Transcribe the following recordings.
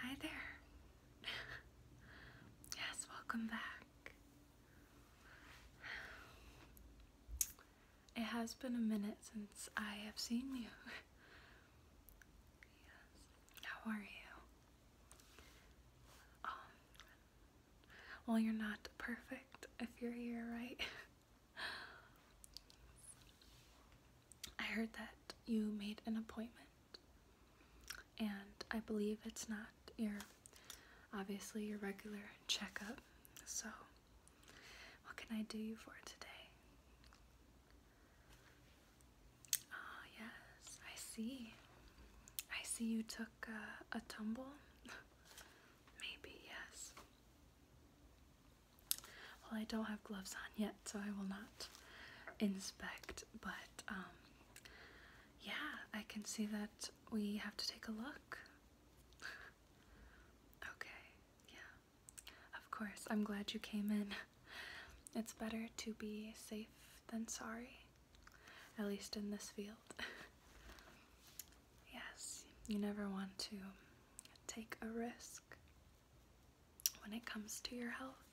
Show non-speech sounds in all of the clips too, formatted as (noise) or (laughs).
Hi there. yes, welcome back. It has been a minute since I have seen you. yes. How are you? Um, well, you're not perfect if you're here, right? (laughs) I heard that you made an appointment, and I believe it's not your obviously your regular checkup. So, what can I do you for today? Oh, yes, I see. I see you took a tumble. (laughs) Maybe, yes. Well, I don't have gloves on yet, so I will not inspect, but um, yeah, I can see that we have to take a look. (laughs) okay, yeah. Of course, I'm glad you came in. It's better to be safe than sorry, at least in this field. (laughs) Yes, you never want to take a risk when it comes to your health.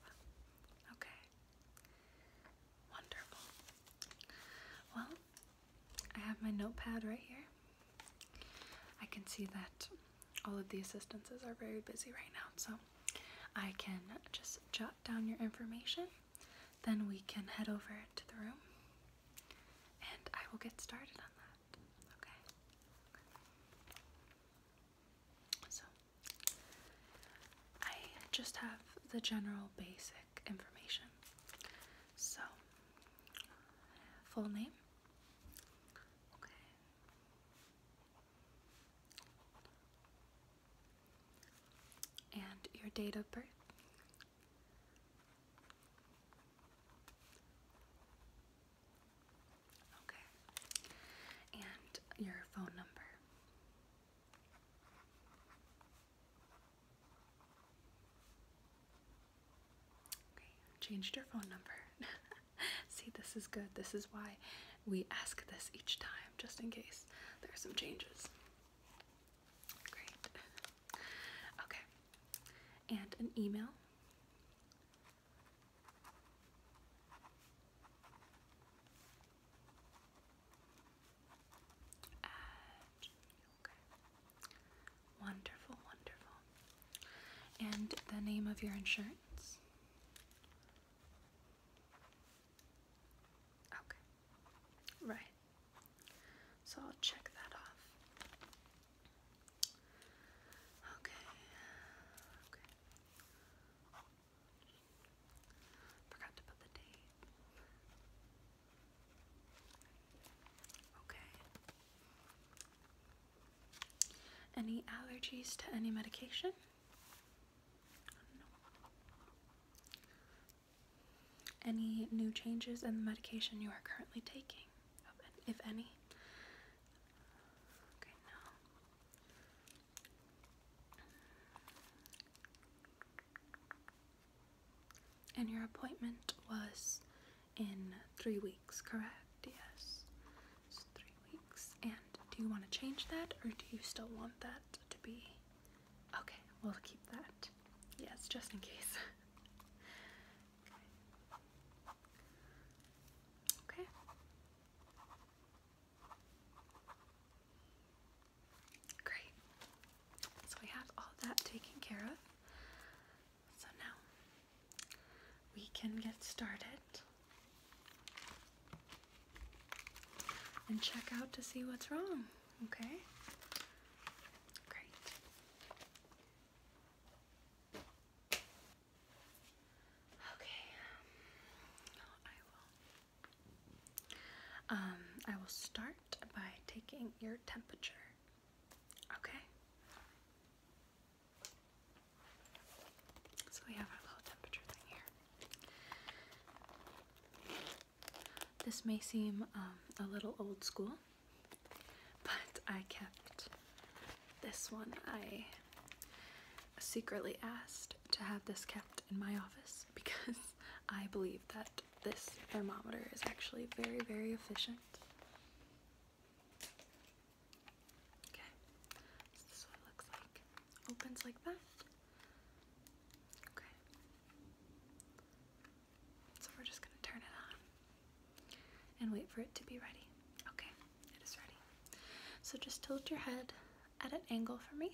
Okay. Wonderful. Well, I have my notepad right here. I can see that all of the assistants are very busy right now, so I can just jot down your information. Then we can head over to the room and I will get started on that. Okay. So, I just have the general basic information. So, full name. Okay. And your date of birth. Okay. And your phone number. Okay, changed your phone number. (laughs) See, this is good. This is why we ask this each time, just in case there are some changes. Great. okay. And an email. Wonderful, wonderful. And the name of your insurance? Okay. Right. So I'll check that off. Okay. Okay. Forgot to put the date. Okay. Any allergies to any medication? Any new changes in the medication you are currently taking, if any? Okay, no. And your appointment was in three weeks, correct? Yes. three weeks. And do you want to change that or do you still want that to be Okay, we'll keep that. Yes, just in case. (laughs) okay. Great. So we have all that taken care of. So now we can get started and check out to see what's wrong, okay? Great. Okay. Um, um, I will. start by taking your temperature. Okay. So we have our little temperature thing here. This may seem um, a little old school, but I kept this one. I secretly asked to have this kept in my office (laughs) because I believe that this thermometer is actually very, very efficient. Okay, this is looks like. Opens like that. Okay. So we're just going to turn it on and wait for it to be ready. Okay, it is ready. So just tilt your head at an angle for me.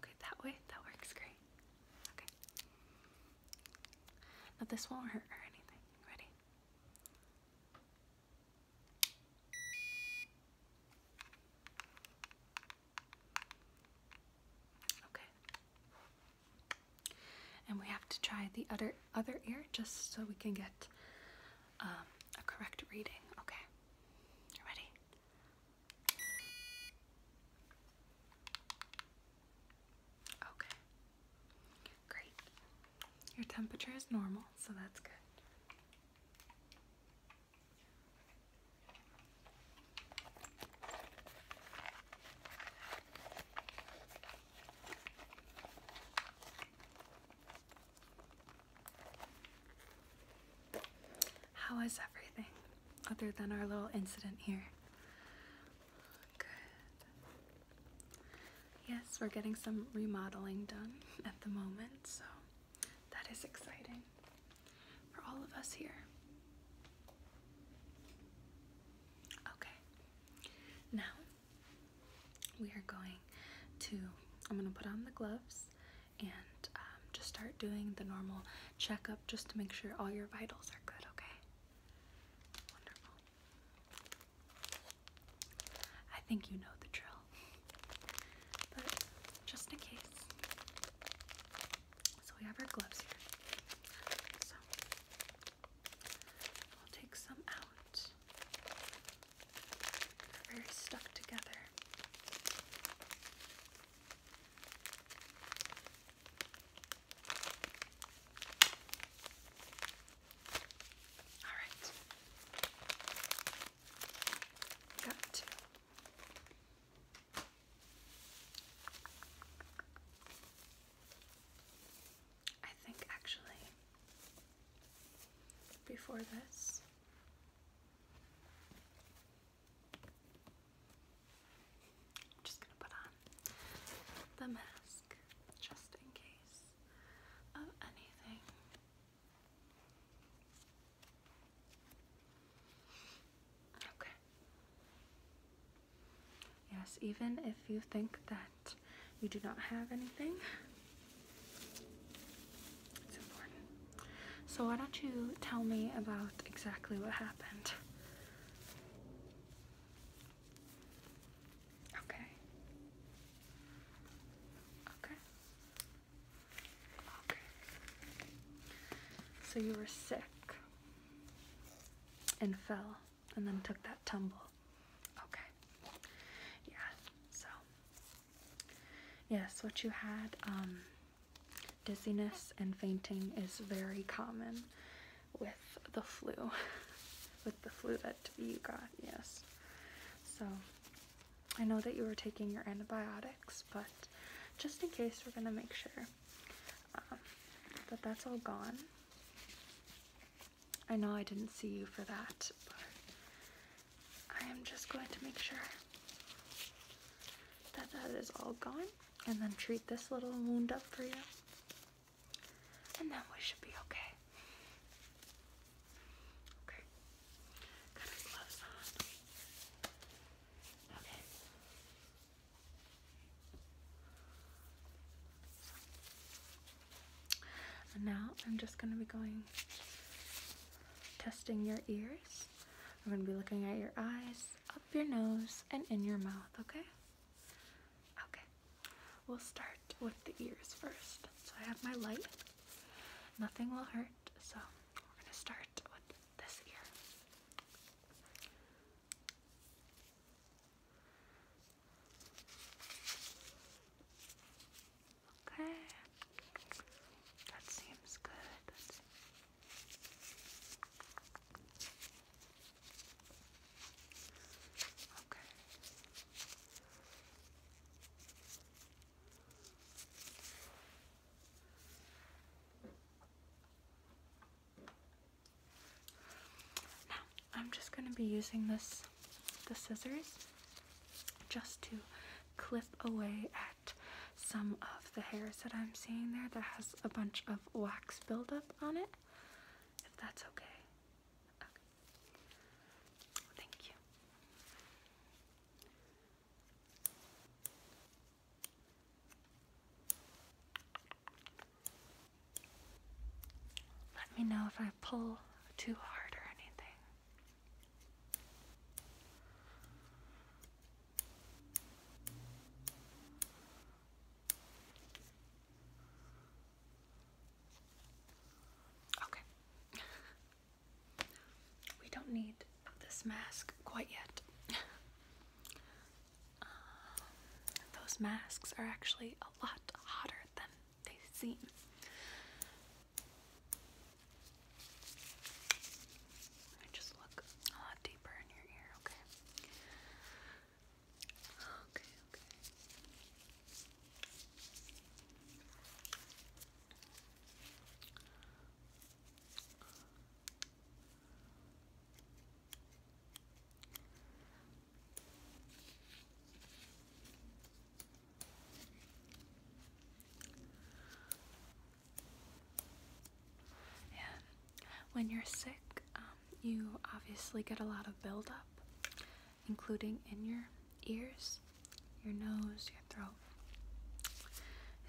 Okay, that way, that works great. Okay. Now this won't hurt or anything. Ready? Okay. And we have to try the other other ear just so we can get um, a correct reading. Okay. You ready? Okay. Great. Your temperature is normal, so that's good. How is everything other than our little incident here? Good. Yes, we're getting some remodeling done at the moment, so that is exciting for all of us here. Okay, now we are going to, I'm going to put on the gloves and um, just start doing the normal checkup just to make sure all your vitals are good, okay? Wonderful. I think you know the drill. But just in case, so we have our gloves here. So we'll take some out. They're very stuck together. All right. Got two. I think actually, before this, I'm just going to put on the mask just in case of anything. Okay. Yes, even if you think that you do not have anything, So, why don't you tell me about exactly what happened? Okay. Okay. Okay. So, you were sick and fell and then took that tumble. Okay. Yeah. So yes, what you had um dizziness and fainting is very common with the flu. (laughs) with the flu that you got. Yes. So I know that you were taking your antibiotics, but just in case we're going to make sure but that's all gone. I know I didn't see you for that, but I am just going to make sure that that is all gone and then treat this little wound up for you. And then we should be okay. Okay. And now I'm just going to be going testing your ears. I'm going to be looking at your eyes, up your nose, and in your mouth, okay? Okay. We'll start with the ears first. So I have my light. Nothing will hurt, so we're going to start with this ear. Okay. That seems good. Okay. I'm just going to be using this, the scissors, just to clip away at some of the hairs that I'm seeing there that has a bunch of wax buildup on it, if that's Okay. Thank you. Let me know if I pull too hard or anything. Okay. (laughs) we don't need this mask quite yet. (laughs) Um, those masks are actually a lot hotter than they seem. just look a lot deeper in your ear, Okay, okay. And when you're sick, um, you obviously get a lot of buildup, including in your ears, your nose, your throat,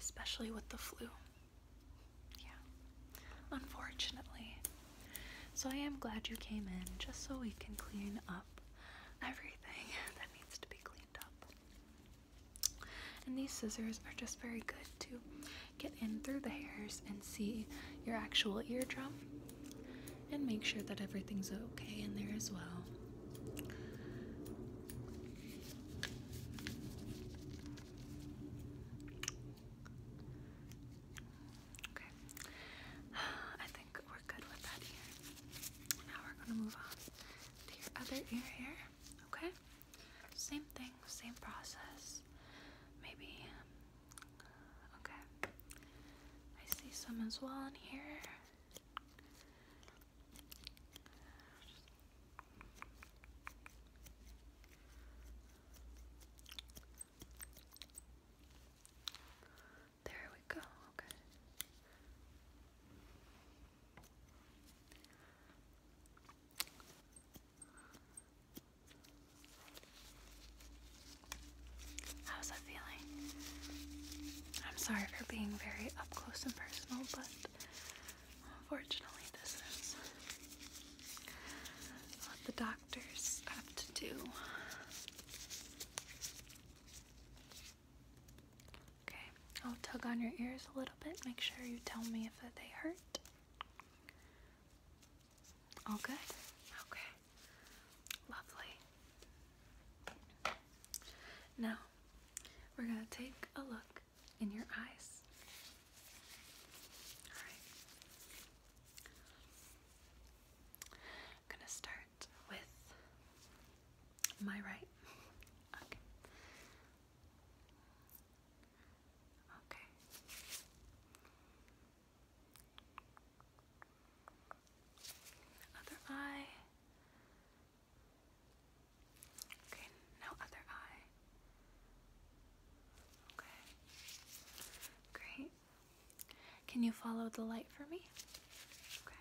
especially with the flu. Yeah, unfortunately. So I am glad you came in just so we can clean up everything (laughs) that needs to be cleaned up. And these scissors are just very good to get in through the hairs and see your actual eardrum and make sure that everything's okay in there as well. Okay. (sighs) I think we're good with that ear. Now we're going to move on to other ear here. Okay? Same thing, same process. Maybe. Um, okay. I see some as well in here. There we go, How's that feeling? I'm sorry for being very up close and personal, but Unfortunately, this is what the doctors have to do. Okay, I'll tug on your ears a little bit. Make sure you tell me if they hurt. All good? Okay. Lovely. Now, we're going to take a look in your eyes. Alright. I'm gonna start with my right. Okay. Other eye. Okay, now other eye. Okay. Great. Can you follow the light for me? Okay.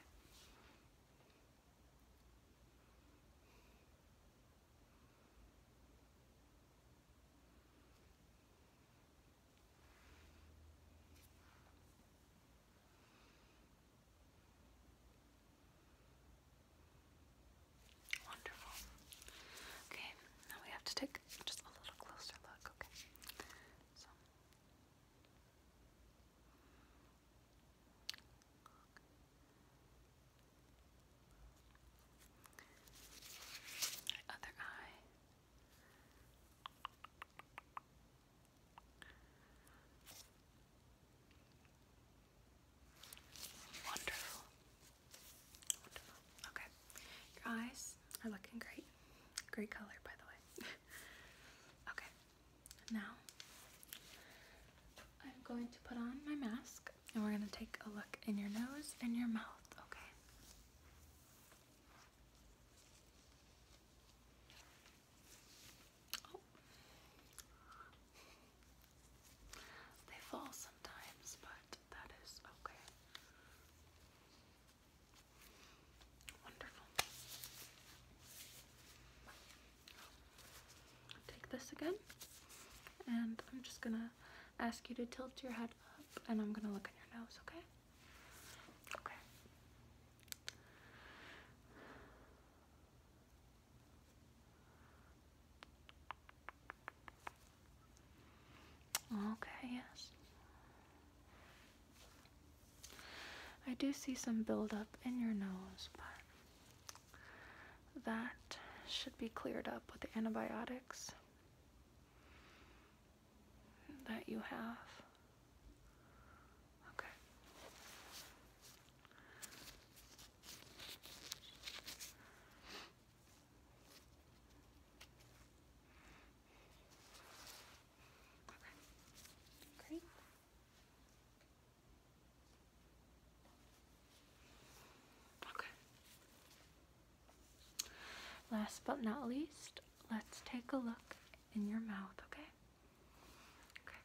Wonderful. Okay, now we have to take just a little closer look, okay? So. Other eye. Wonderful. Okay. Your eyes are looking great. Great color, by the way. (laughs) okay. Now, I'm going to put on my mask and we're going to take a look in your nose and your mouth, okay? Oh. They fall sometimes, but that is okay. Wonderful. Take this again, and I'm just gonna ask you to tilt your head up, and I'm gonna look in your nose, okay? Okay. Okay, yes. I do see some buildup in your nose, but that should be cleared up with the antibiotics that you have. Okay. Okay. Great. Okay. Last but not least, let's take a look in your mouth, okay? Okay.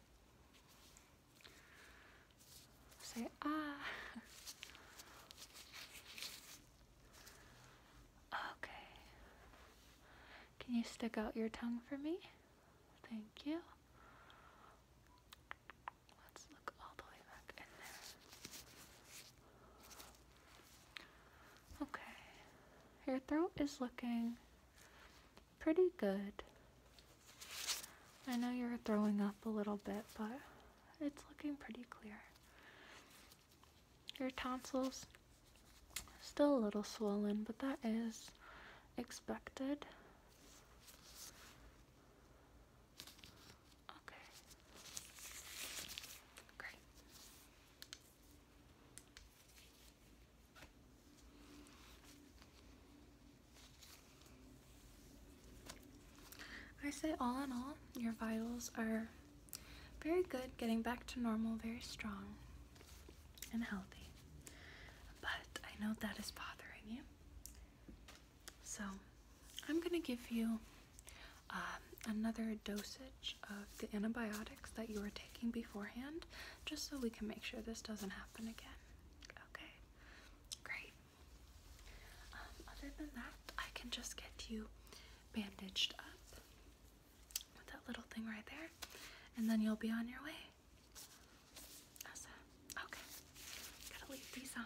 Say ah. Okay. Can you stick out your tongue for me? Thank you. Let's look all the way back in there. Okay. Your throat is looking pretty good. I know you are throwing up a little bit, but it's looking pretty clear. Your tonsils still a little swollen, but that is expected. Okay. Great. I say, all in all, your vitals are very good, getting back to normal, very strong and healthy. But I know that is bothering you. So I'm going to give you um, another dosage of the antibiotics that you were taking beforehand, just so we can make sure this doesn't happen again. Okay, great. Um, other than that, I can just get you bandaged up with that little thing right there, and then you'll be on your way. Okay, gotta leave these on.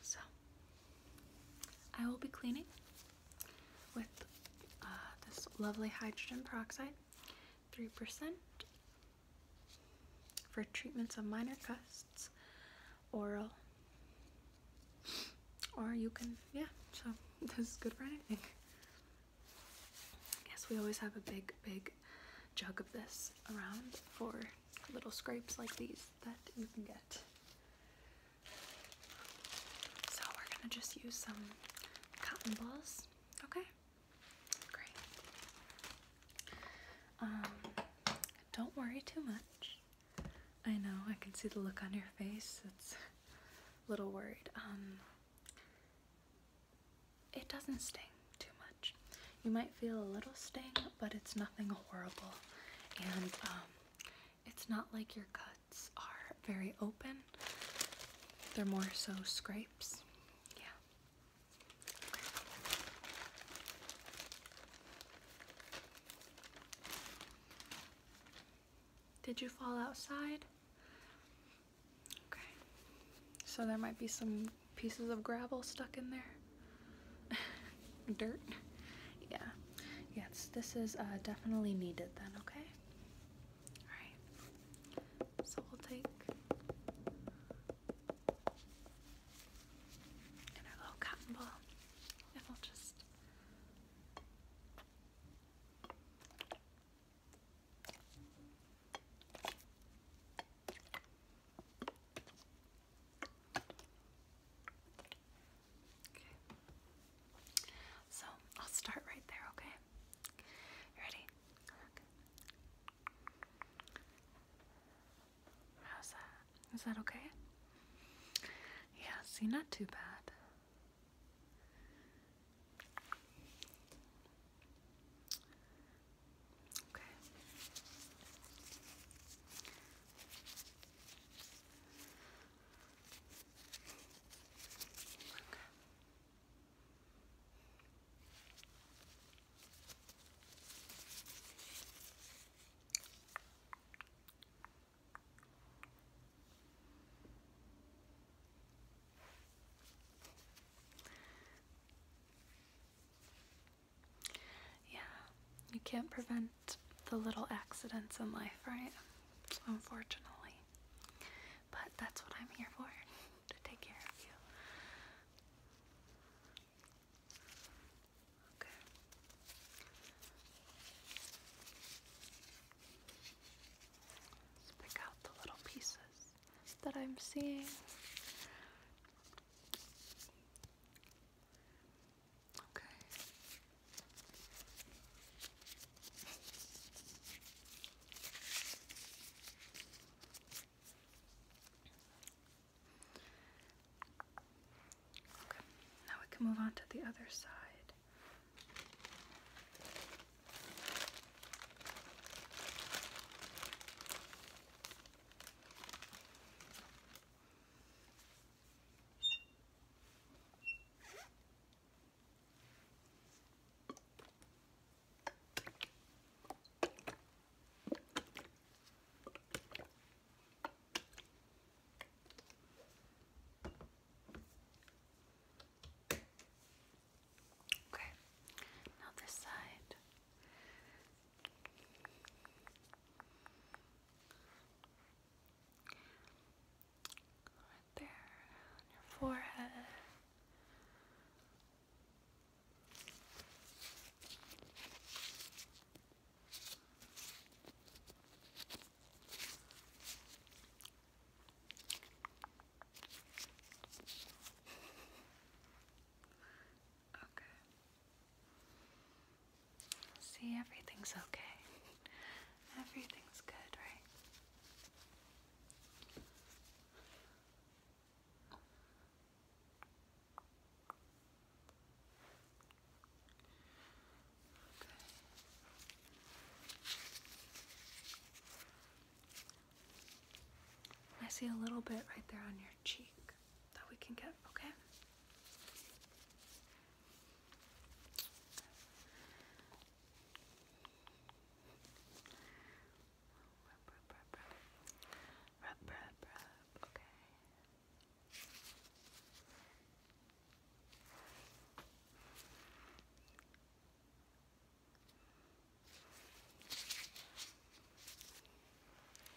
So, I will be cleaning with uh, this lovely hydrogen peroxide, 3% for treatments of minor custs, oral, or you can, yeah, so (laughs) this is good for anything. I guess we always have a big, big jug of this around for little scrapes like these that you can get. So we're gonna just use some cotton balls. Okay. Great. Um, don't worry too much. I know I can see the look on your face. It's a little worried. Um, it doesn't sting too much. You might feel a little sting, but it's nothing horrible, and um, it's not like your cut are very open. They're more so scrapes. Yeah. Did you fall outside? Okay. So there might be some pieces of gravel stuck in there. (laughs) Dirt. Yeah. Yes, this is uh, definitely needed then, okay? Alright. So we'll take and our little cotton ball and we'll just Okay. So I'll start right there, okay? Ready? How's that? Is that okay? Yeah, see, not too bad. Okay. Yeah, you can't prevent the little accidents in life, right? Unfortunately. But that's what I'm here for to take care of you. Okay. pick out the little pieces that I'm seeing. Okay. now we can move on to the other side. Okay, now this side there on your forehead. Okay. See, everything's okay. (laughs) Everything's good, right? I see a little bit right there on your cheek that we can get, okay? Okay.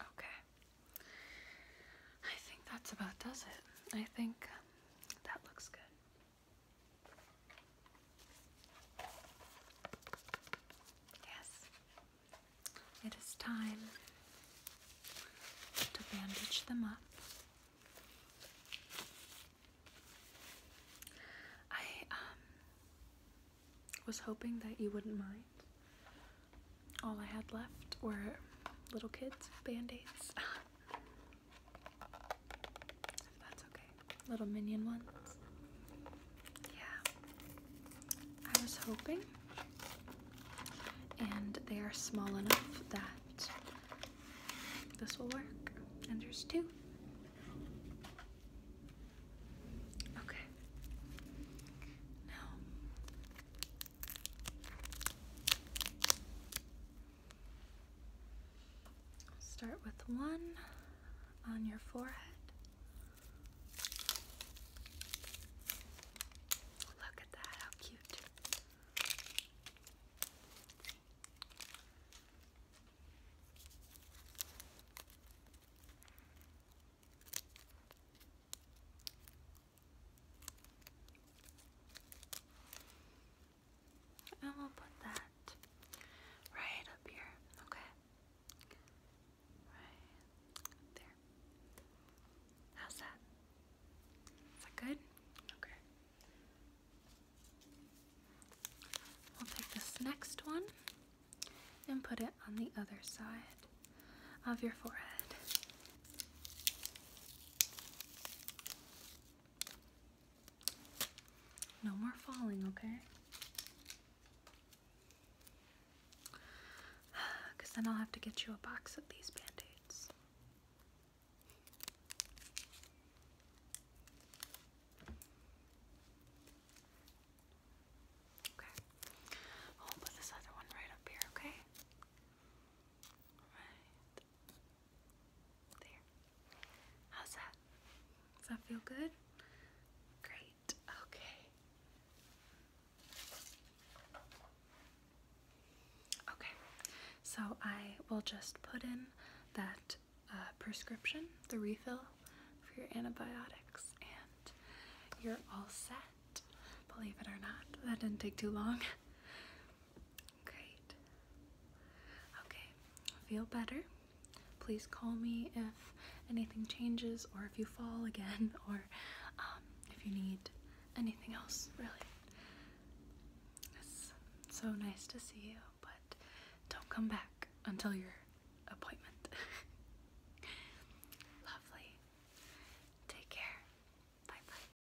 Okay. I think that's about does it. I think that looks good. Yes, it is time to bandage them up. I um, was hoping that you wouldn't mind. All I had left were little kids' band aids. (laughs) that's okay. Little minion ones. Yeah. I was hoping. And they are small enough that this will work. And there's two. Okay. Now Start with one on your forehead. Look at that, how cute. And we'll put that right up here, okay? Right there. How's that? Is that good? Okay. We'll take this next one and put it on the other side of your forehead. No more falling, okay? Because (sighs) then I'll have to get you a box of these band aids. Okay. I'll put this other one right up here, okay? Right there. How's that? Does that feel good? Great. Okay. Okay. So I will just put in that uh, prescription, the refill for your antibiotics, and you're all set. Believe it or not, that didn't take too long. Great. Okay, feel better. Please call me if anything changes or if you fall again (laughs) or um, if you need anything else, really. It's so nice to see you, but don't come back until your appointment. (laughs) Lovely. Take care. Bye bye.